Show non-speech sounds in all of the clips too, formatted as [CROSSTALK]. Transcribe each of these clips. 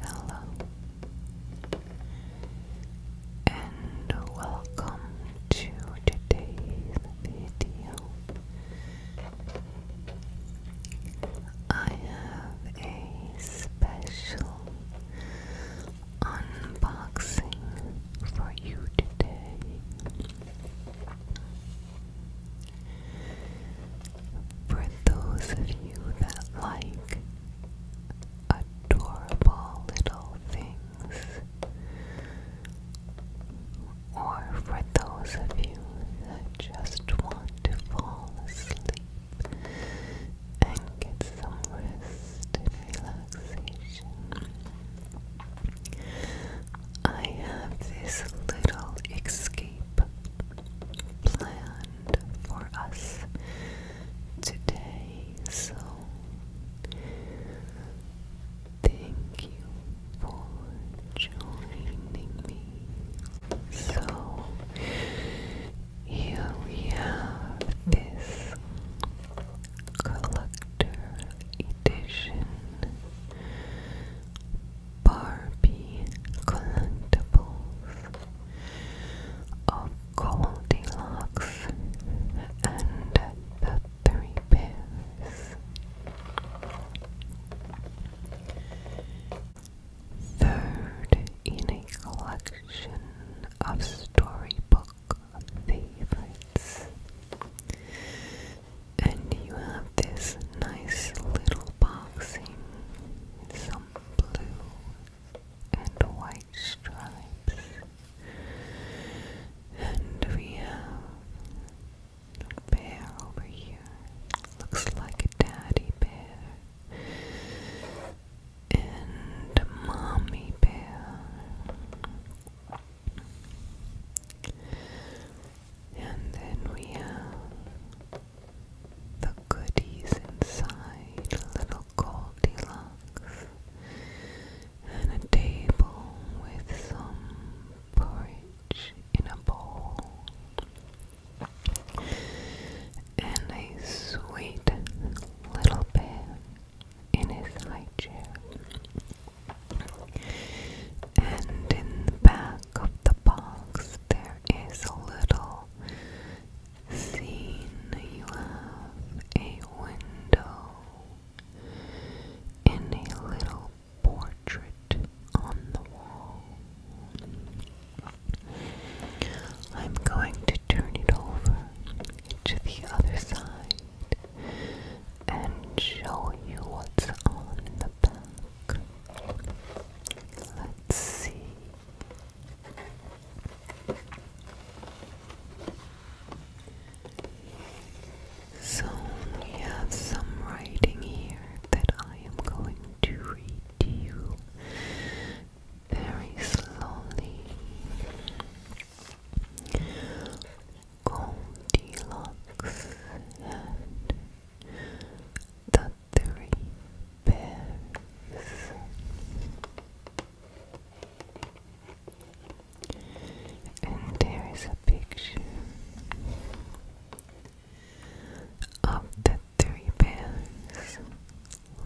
Hello and welcome to today's video. I have a special unboxing for you today. For those of you that like adorable little things, or for those of you that just want to fall asleep and get some rest and relaxation. I have this little escape planned for us today. So, thank you for joining me. So, here we have this collector edition Barbie collectibles of Goldilocks and the Three Bears. Third in a collection of storybook favorites. And you have this nice little boxing with some blue and white stripes. And we have a bear over here. Looks like a daddy bear. And a mommy bear. And then we have the goodies inside, little Goldilocks, and a table with some porridge in a bowl, and a sweet little bear in his high chair. And in the back of the box there is a little scene. You have a window and a little portrait on the wall. I'm going to turn it over to the other side and show you what's on the back. Let's see. So we have some writing here that I am going to read to you very slowly. Goldilocks and the three pairs. And there is a picture of the three bears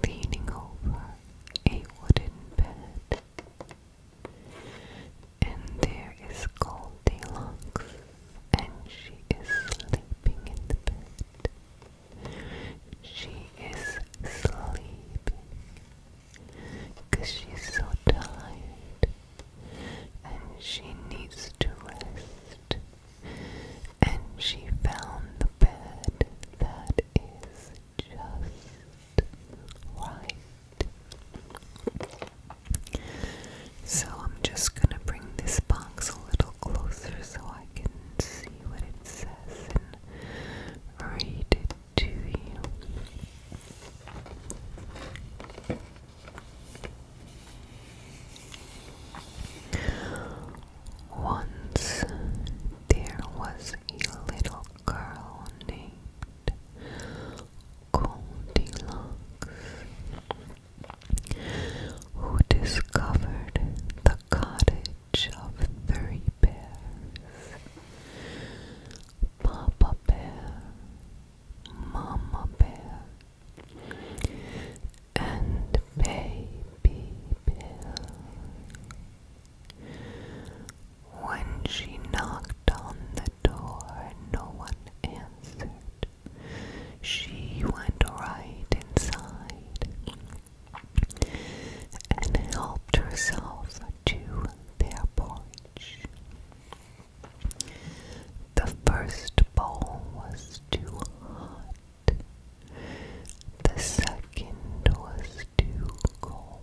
leaning over a wooden bed. And there is Goldilocks and she is sleeping in the bed. She is sleeping because she's so tired and she needs to rest. And she found the bed that is just right. So I'm just gonna bring this box a little closer so I can see what it says and read it to you. Once there was a little girl named Goldilocks who discovered the cottage of three bears. Papa Bear, Mama Bear, and Baby Bear. When she knocked on the door, no one answered. She went right inside and helped herself to their porridge. The first bowl was too hot, the second was too cold,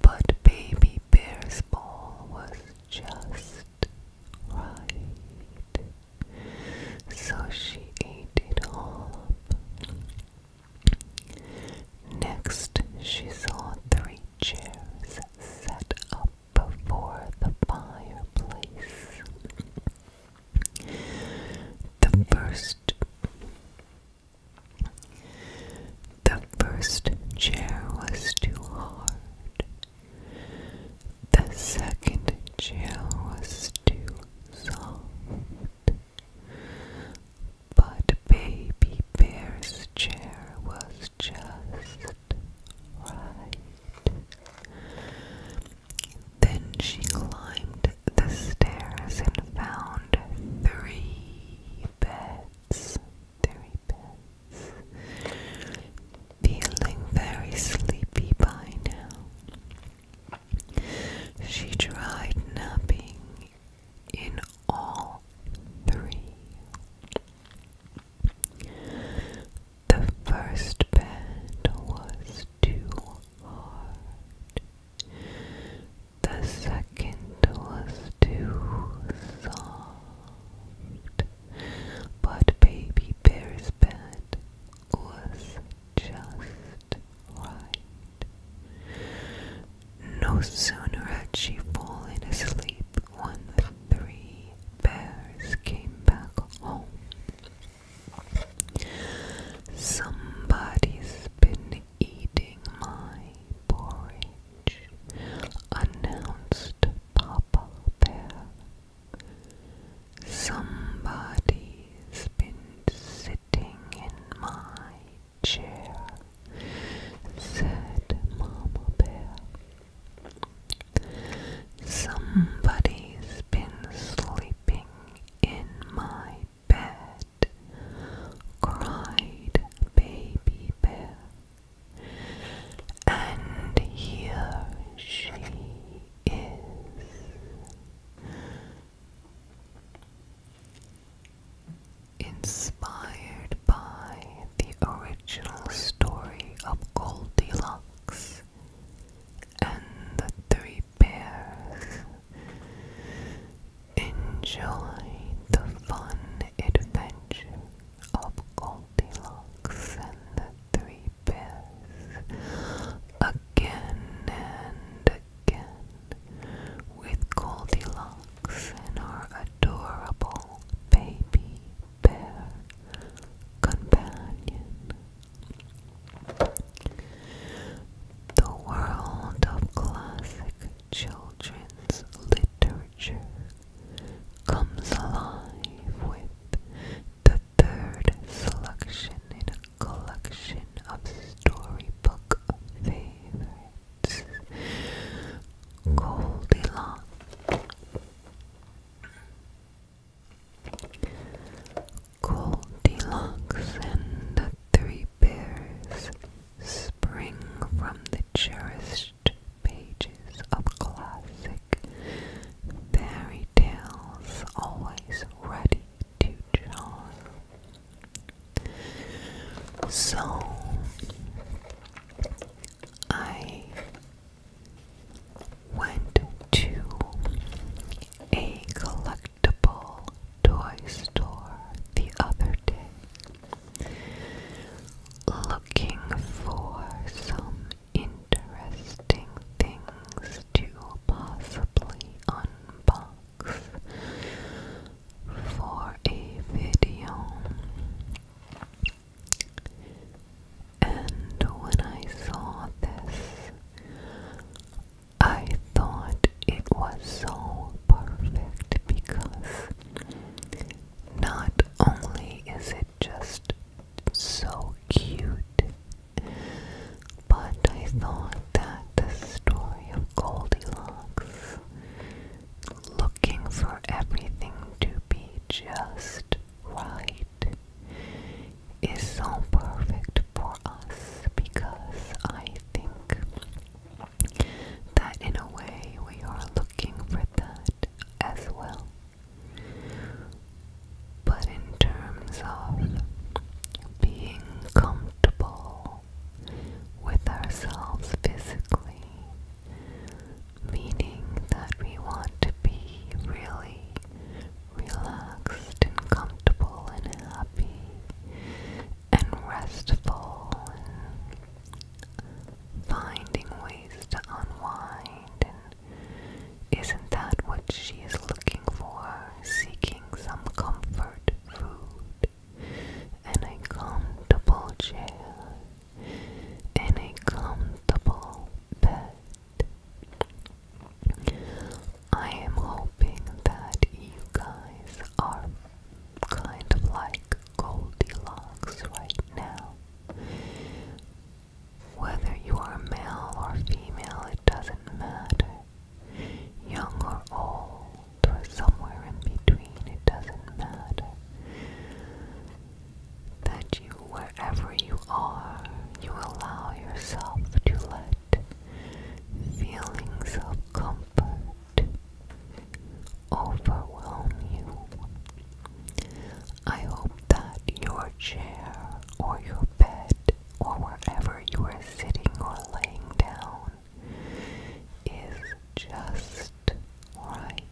but Baby Bear's bowl was just right. So she ate it all up. Next, she saw three chairs set up before the fireplace. The first the first chair was too hard. The second chair was too soft. But Baby Bear's chair was just right. Then she climbed the stairs and found three beds. Feeling very sleepy by now, she tried napping in all three. The first bed was too hard. The second was too soft. But Baby Bear's bed was just right. No sooner had she fallen asleep when the three bears came back home. Somebody's been eating my porridge, announced Papa Bear Somebody's been sitting in my chair, said Mama Bear. Somebody's been sleeping in my bed, cried Baby Bear. And here she is. Inspired by the original story of Goldilocks and the Three Bears, enjoy the fun adventure of Goldilocks and the Three Bears again and again with Goldilocks and our adorable baby bear companion. The world of classic children's literature comes alive with the third selection in a collection of storybook favorites, Goldilocks. Goldilocks and the Three Bears spring from the cherished etched pages of classic fairy tales, always ready to charm. So I went to a collectible toy store the other day looking for some interesting things to possibly unbox for a video. And when I saw this, I thought it was so perfect because not only is just so cute. But I thought that the story of Goldilocks looking for everything to be just right is so perfect for us because I think that in a way we are looking for that as well. But in terms of being comfortable with ourselves physically, meaning that we want to be really relaxed and comfortable and happy and restful finding ways to unwind and isn't that what she is looking for? Seeking some comfort, food, and a comfortable chair, and a comfortable bed. I am hoping that you guys are kind of like Goldilocks right now. Whether you are male or female, it doesn't matter. Young or old, or somewhere in between, it doesn't matter. That you, wherever you are, you allow yourself to let feelings of comfort overwhelm you. I hope that your chair or your bed or wherever you are sitting or laying down is just right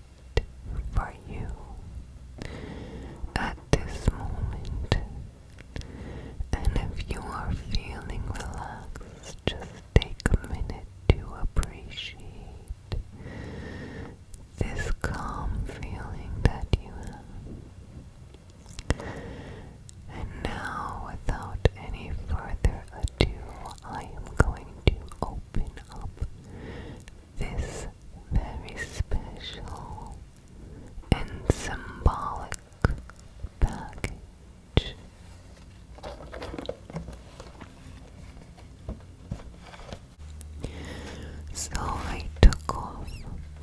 for you at this moment. And if you are feeling relaxed, just take a minute to appreciate this calm feeling that you have. And now, without any further ado, I am going to open up this very special and symbolic package. So I took off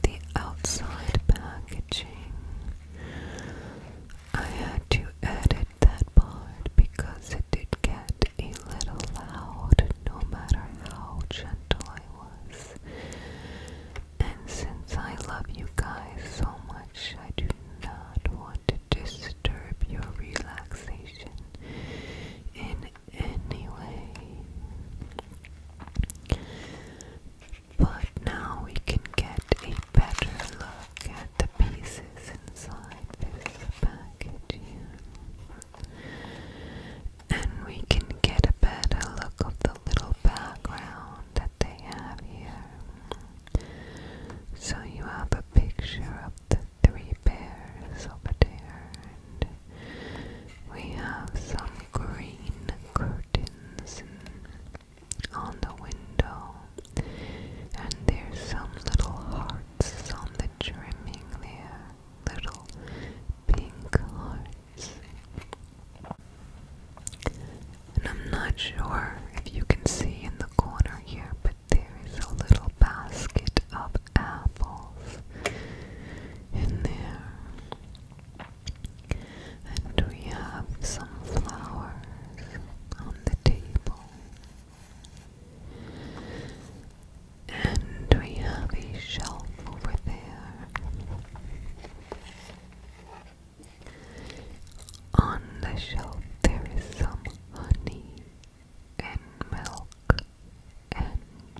the outside packaging. I had to edit that part because it did get a little loud no matter how gentle I was. And since I love you guys so much, I do not want to disturb your relaxation in anyway. But now we can get a better look at the pieces inside this package And we can get a better look of the little background that they have here. So you have a picture of the three bears over there we have some green curtains on the window, and there's some little hearts on the trimming there, little pink hearts. And I'm not sure if you can see in the corner here, but there is a little basket of apples in there. And we have some flowers on the table. And we have a shelf over there. On the shelf, there is some honey and milk and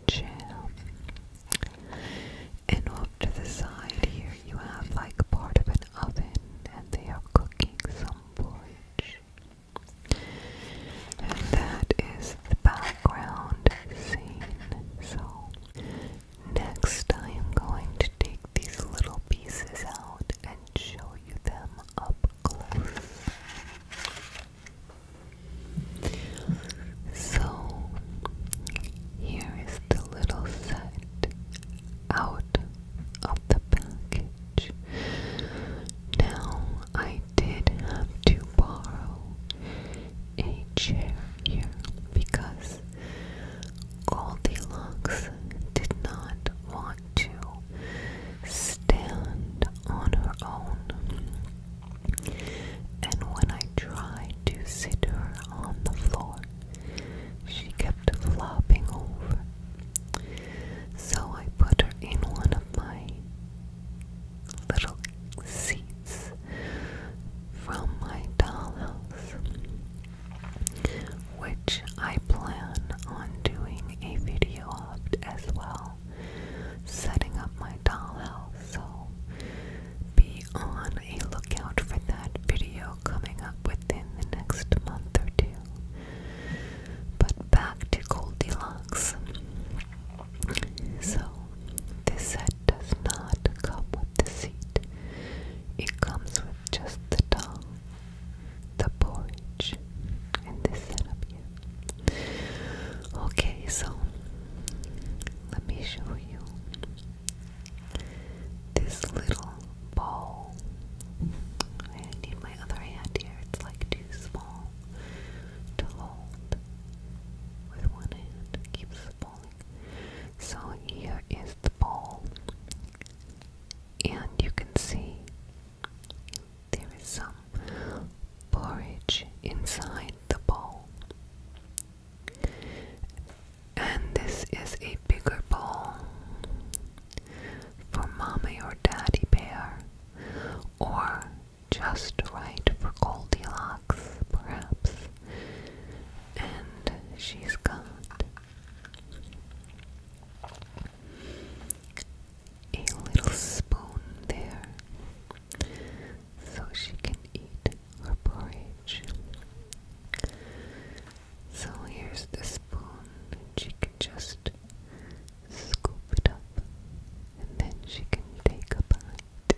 jam. And off to the side here you have like part of an oven and they are cooking some porridge. And that is the background scene. So next I am going to take these little pieces out and show you them up close. So, here is the little set out of the package. Now, I did have to borrow a chair here because Goldilocks did not want to stand on her own. And when I tried to sit her on the floor, she kept flopping over. So I put her in one of my little seats from my dollhouse, which I plan on doing a video of as well setting up my dollhouse, so be on a lookout for that video coming up within the next month or two. But back to Goldilocks. So, this set does not come with the seat, it comes with just the doll, the porridge, and this setup here. Okay, so let me show you this little ball. I need my other hand here, it's like too small to hold with one hand. keeps falling. So here is the ball. And you can see there is some porridge inside the bowl. And this is a bigger bowl for mommy or daddy bear, or just right for Goldilocks, perhaps. And she's got a little spoon there so she can eat her porridge. So here's the spoon, and she can just scoop it up, and then she can take a bite.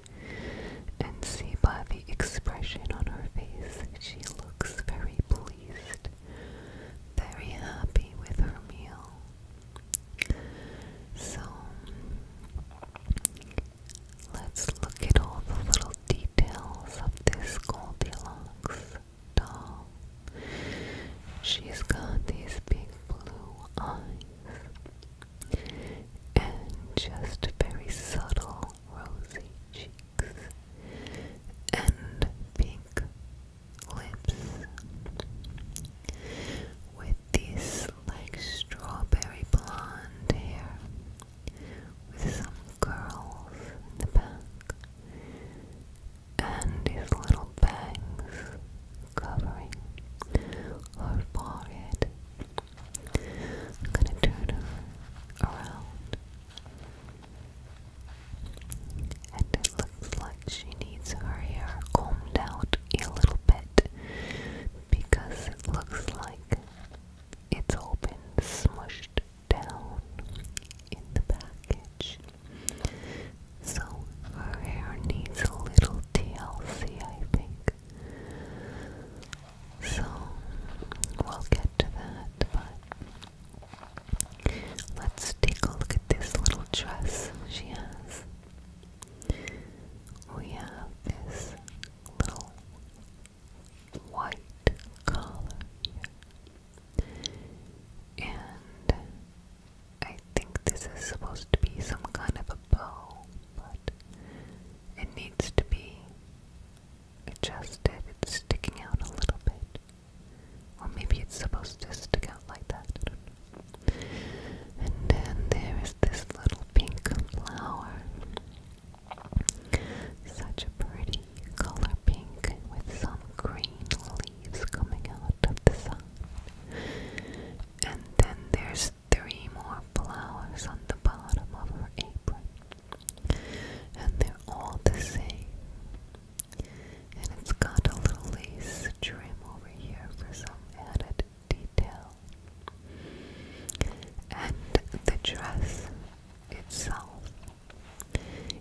And see by the expression on her face, she looks very pleased, very happy with her meal. So let's look at all the little details of this Goldilocks doll. She's got these big blue eyes and just very subtle rosy cheeks and pink lips with this like strawberry blonde hair with some curls in the back and these little bangs covering her forehead. I'm gonna turn her around and it looks like she needs her hair combed out a little bit because it looks like it's all been smushed down in the package. So her hair needs a little TLC, I think. So we'll get to that, but let's take a look at this little dress she has we have this little white color, And I think this is supposed to be some kind of a bow, but it needs to be adjusted. It's sticking out a little bit. Or maybe it's supposed to stick out like that. And then there is this little pink flower. Such a pretty color pink with some green leaves coming out of the sun. And then there's three more flowers on the bottom of her apron. And they're all the same. And it's got a little lace trim over here for some added detail. And the dress itself,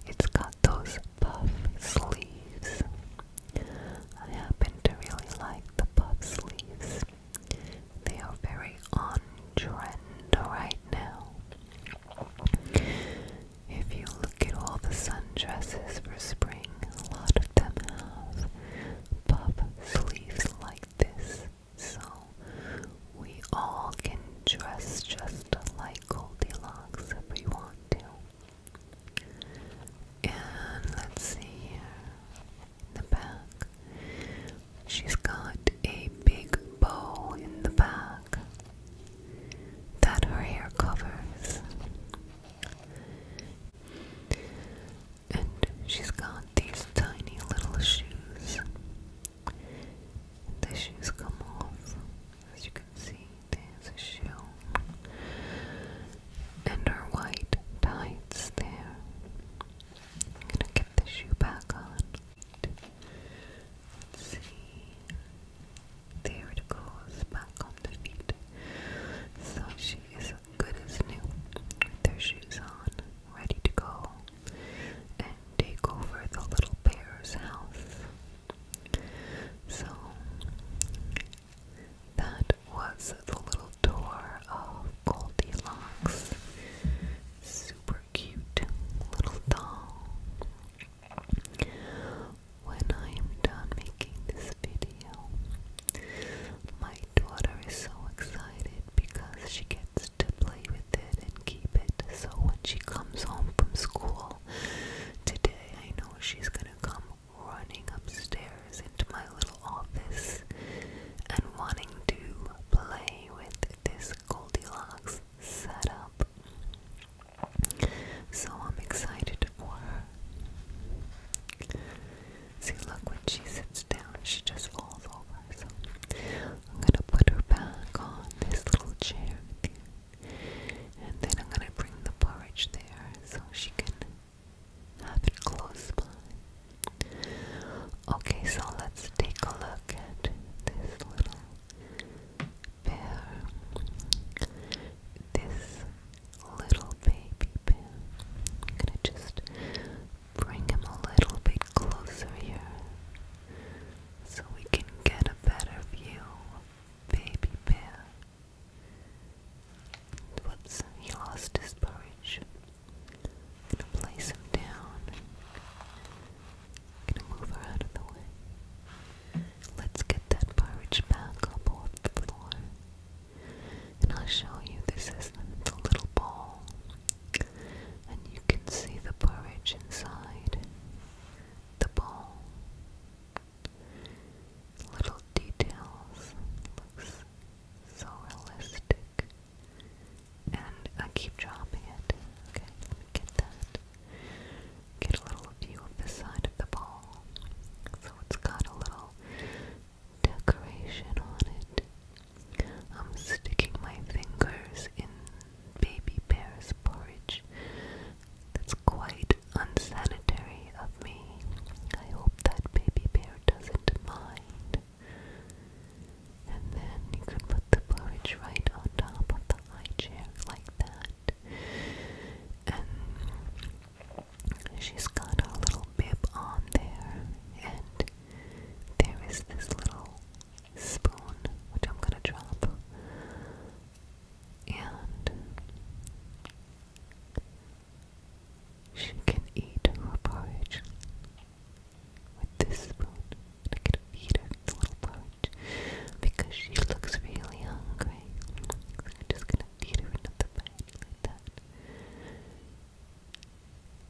it's got those puff sleeves. I happen to really like the puff sleeves. They are very on trend right now. If you look at all the sundresses for spring, a lot of them have puff sleeves like this so we all can dress just like Goldilocks if we want to. And let's see here the back. She's got a big bow in the back that her hair covers. And she's got these tiny little shoes. The shoes come off. As you can see, there's a shoe. And her white tights there. I'm gonna get the shoe back on. see. There it goes back on the feet. So she is good as new, with their shoes on, ready to go, and take over the little bear's house. So, that was the little tour of Goldilocks. Super cute little doll. When I am done making this video, my daughter is so excited because she gets to play with it and keep it. So when she comes home from school today, I know she's gonna come running upstairs into my little office and wanting to play with this Goldilocks setup. So I'm excited for her. See, look, when she sits down, she just falls over. So I'm gonna put her back on this little chair And then I'm gonna bring the porridge there so she can have it close by. Okay, so let's take a look at this little bear. This little baby bear. I'm gonna just Bring him a little bit closer here so we can get a better view Baby Bear. Whoops, he lost his courage. gonna place him down. gonna move her out the way. Let's get that porridge back up the floor. And I'll show you this is the little ball, And you can see the porridge inside the ball. Little details. Looks so realistic. And I keep dropping it. Okay, let me get that. Get a little view of the side of the bowl. So it's got a little decoration on it. I'm sticking my fingers in baby bear's porridge. That's quite unsanitary of me. I hope that baby bear doesn't mind. And then you could put the porridge right on top of the high chair like that. And she's got her little bib on there, and there is this little spoon which I'm gonna drop, and she can eat her porridge with this spoon. I can feed her little porridge because she looks really hungry. I'm just gonna feed her another bite like that.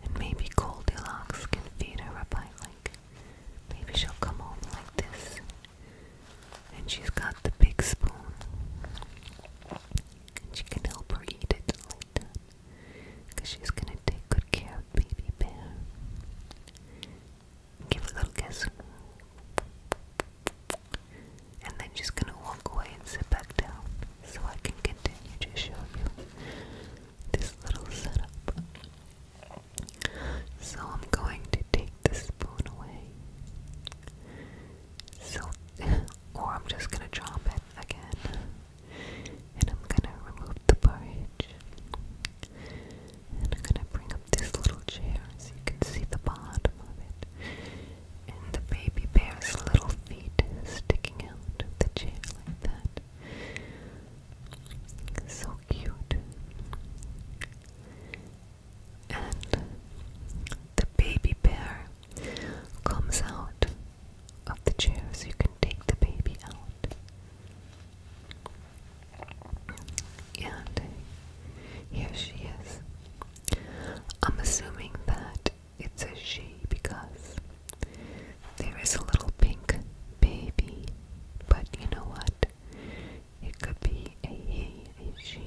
And maybe Goldilocks can feed her up. I like, maybe she'll come home like this. And she's got the big spoon. And she can help her eat it like that. Because she's going to take good care of Baby Bear. Give a little kiss. And then just going to walk away and sit back down so I can continue to show you this little setup. So I'm going to take the spoon away. So, [LAUGHS] or I'm just gonna drop it again, and I'm gonna remove the porridge, and I'm gonna bring up this little chair so you can see the bottom of it, and the baby bear's little feet sticking out of the chair like that. So cute. And the baby bear comes out of the chair so you can take the baby out. And here she is. I'm assuming that it's a she because there is a little pink baby, but you know what? It could be a he, a she,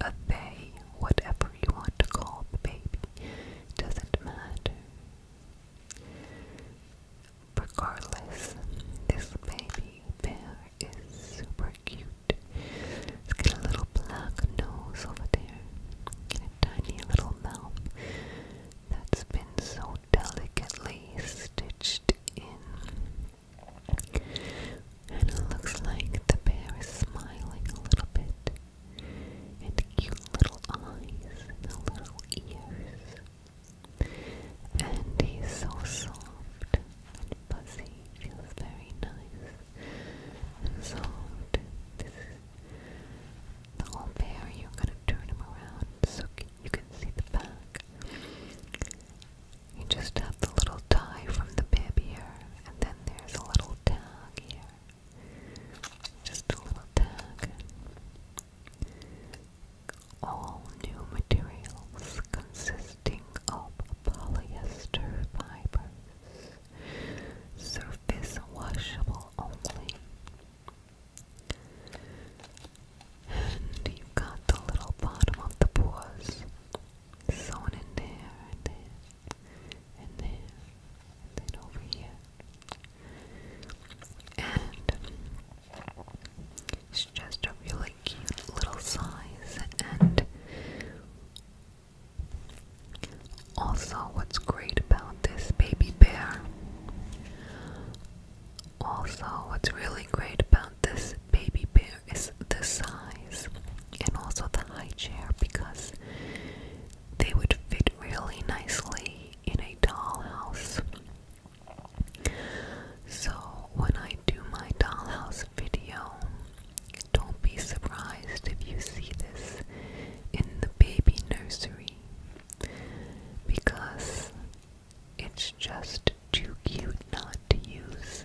a they, whatever you want to call the baby. Doesn't matter. Regardless, this baby bear is super cute. It's got a little black nose over there a tiny little mouth that's been so delicately stitched in. And it looks like the bear is smiling a little bit. And cute little eyes and little ears. And he's so soft and fuzzy. Feels very nice and soft. The whole pair, you're gonna turn them around so you can see the back. You just have the little tie from the bib here, and then there's a little tag here. Just a little tag. All new materials consisting of polyester fibers. Surface washable only. And you've got the little bottom of the paws sewn in there and there and there then over here. And it's just a really cute little size and also, what's great about this baby bear? Also, what's really great about this baby bear is the size and also the high chair because they would fit really nicely in a dollhouse. So, when I do my dollhouse video, don't be surprised if you see this in the baby nursery because it's just too cute not to use.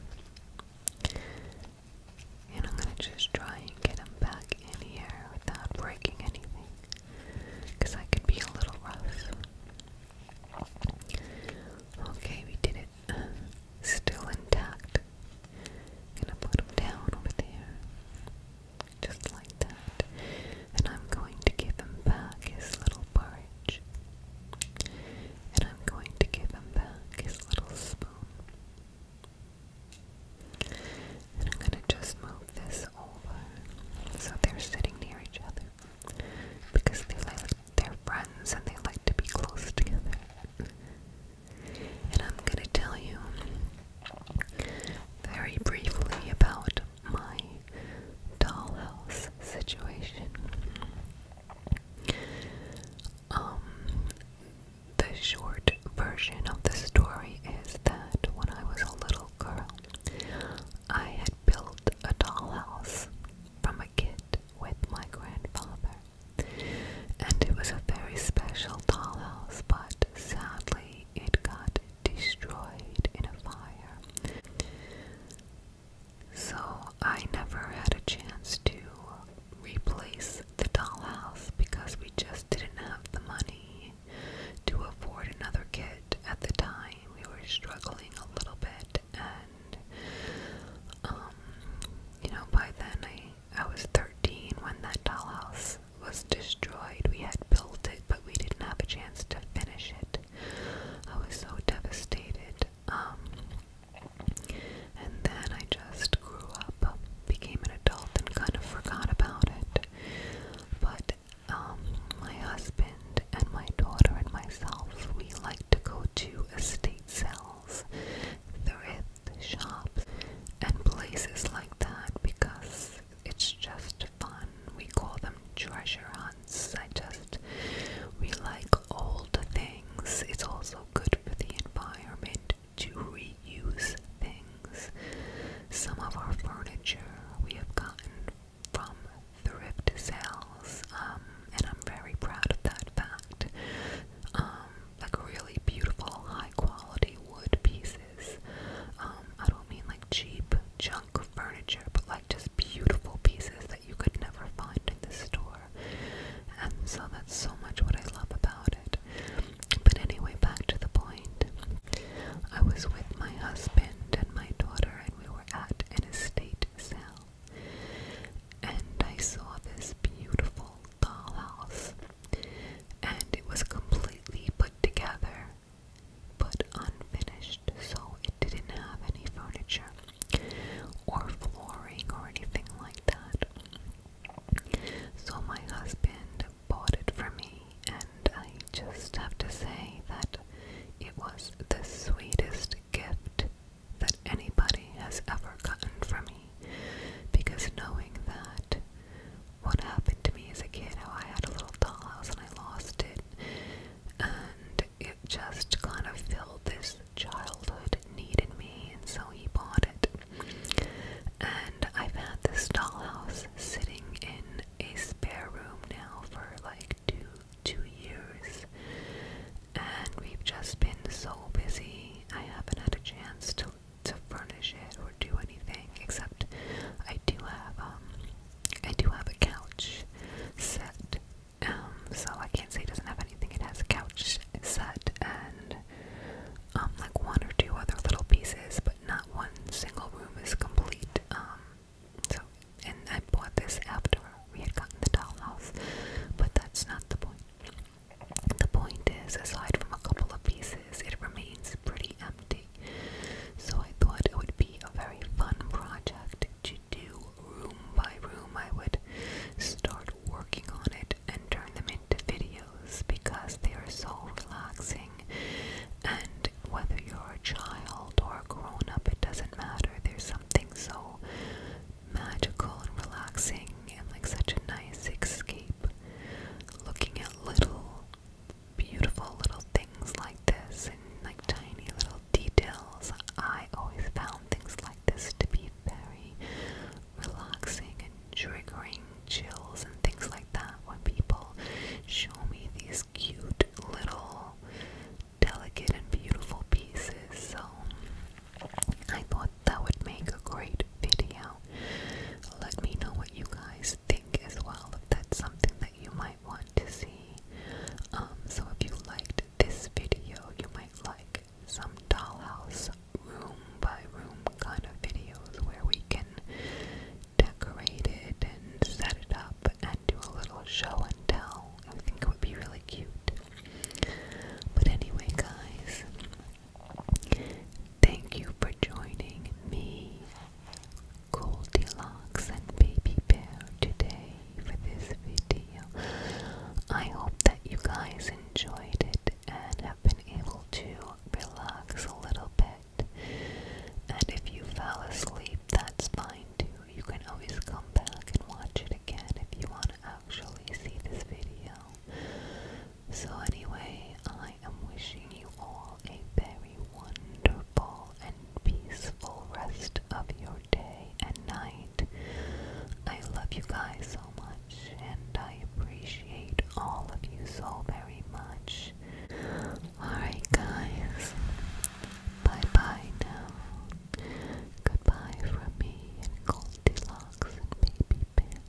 And I'm gonna just try and get them back in here without breaking anything because I could be a little rough. Okay, we did it. still intact. gonna put him down over there just like that. And I'm going to give him back his little barge, And I'm going to give him back his little spoon. And I'm going to just move this over so they're sitting near each other because they like, they're friends and they like to be close together and I'm gonna tell you very briefly about my dollhouse situation. Um, the short version of the story is that when I was a little girl, I had built a dollhouse from a kit with my grandfather. And it was a very special dollhouse, but sadly, it got destroyed in a fire. So I never had a chance to replace the dollhouse because we just didn't have the money to afford another kit at the time. We were struggling a little bit, and um, you know, by then I I was 13 when that dollhouse was destroyed. We had built it, but we didn't have a chance to finish it. I was so devastated. Um, and then I just grew up, became an adult, and kind of forgot about it. But um, my husband and my daughter and myself, we like to go to estate sales. Thrift the shops and places like that because it's just fun. We call them treasure hunts. I just, we like old things. It's also good for the environment to reuse things. Some of our furniture we have gotten from thrift sales, um, and I'm very proud of that fact. Um, like really beautiful, high quality wood pieces pieces. Um, I don't mean like cheap junk furniture, but like just beautiful pieces that you could never find in the store. And so that's so much what I love about it. But anyway, back to the point. I was with my husband and my daughter, and we were at an estate sale. And I saw this beautiful dollhouse and it was completely put together but unfinished, so it didn't have any furniture or flooring or anything like that. So my husband bought it for me, and I just have to say that it was the sweetest gift that anybody has ever gotten for me because knowing that what happened to me as a kid, how I had a little dollhouse and I lost it. And it just kind of filled this childhood need in me, and so he bought it. And I've had this dollhouse sitting in a spare room now for like two two years. And we've just been so busy. I haven't had a chance to to furnish it or do anything except I do have um I do have a couch set. Um so I can't say it doesn't have anything. It has a couch set and um like one or two other little pieces, but not one single room is complete. Um so and I bought this after we had gotten the dollhouse, but that's not the point. The point is, aside from a couple of pieces, it remains pretty empty. So I thought it would be a very fun project to do room by room. I would start working on it and turn them into videos because they are so relaxing. And whether you're a child or a grown up, it doesn't matter. There's something so magical and relaxing and like such a nice escape. Looking at little beautiful little things like this and like tiny little details. I always found things like this to be very relaxing and triggering chills and things like that when people show me these cute little delicate and beautiful pieces. So I thought that would make a great video. Let me know what you guys think as well, if that's something that you might want to see. Um, so if you liked this video, you might like some dollhouse room by room kind of videos where we can decorate it and set it up and do a little show and tell. I think it would be really cute. But anyway, guys, Thank you for joining me, Goldilocks and Baby Bear, today for this video. I hope that you guys enjoyed it and have been able to relax a little bit. And if you fell asleep, that's fine too. You can always come back and watch it again if you want to actually see this video. So, anyway, I I am wishing you all a very wonderful and peaceful rest of your day and night. I love you guys so much and I appreciate all of you so very much. Alright, guys. Bye bye now. Goodbye from me and Goldilocks and Baby Bear.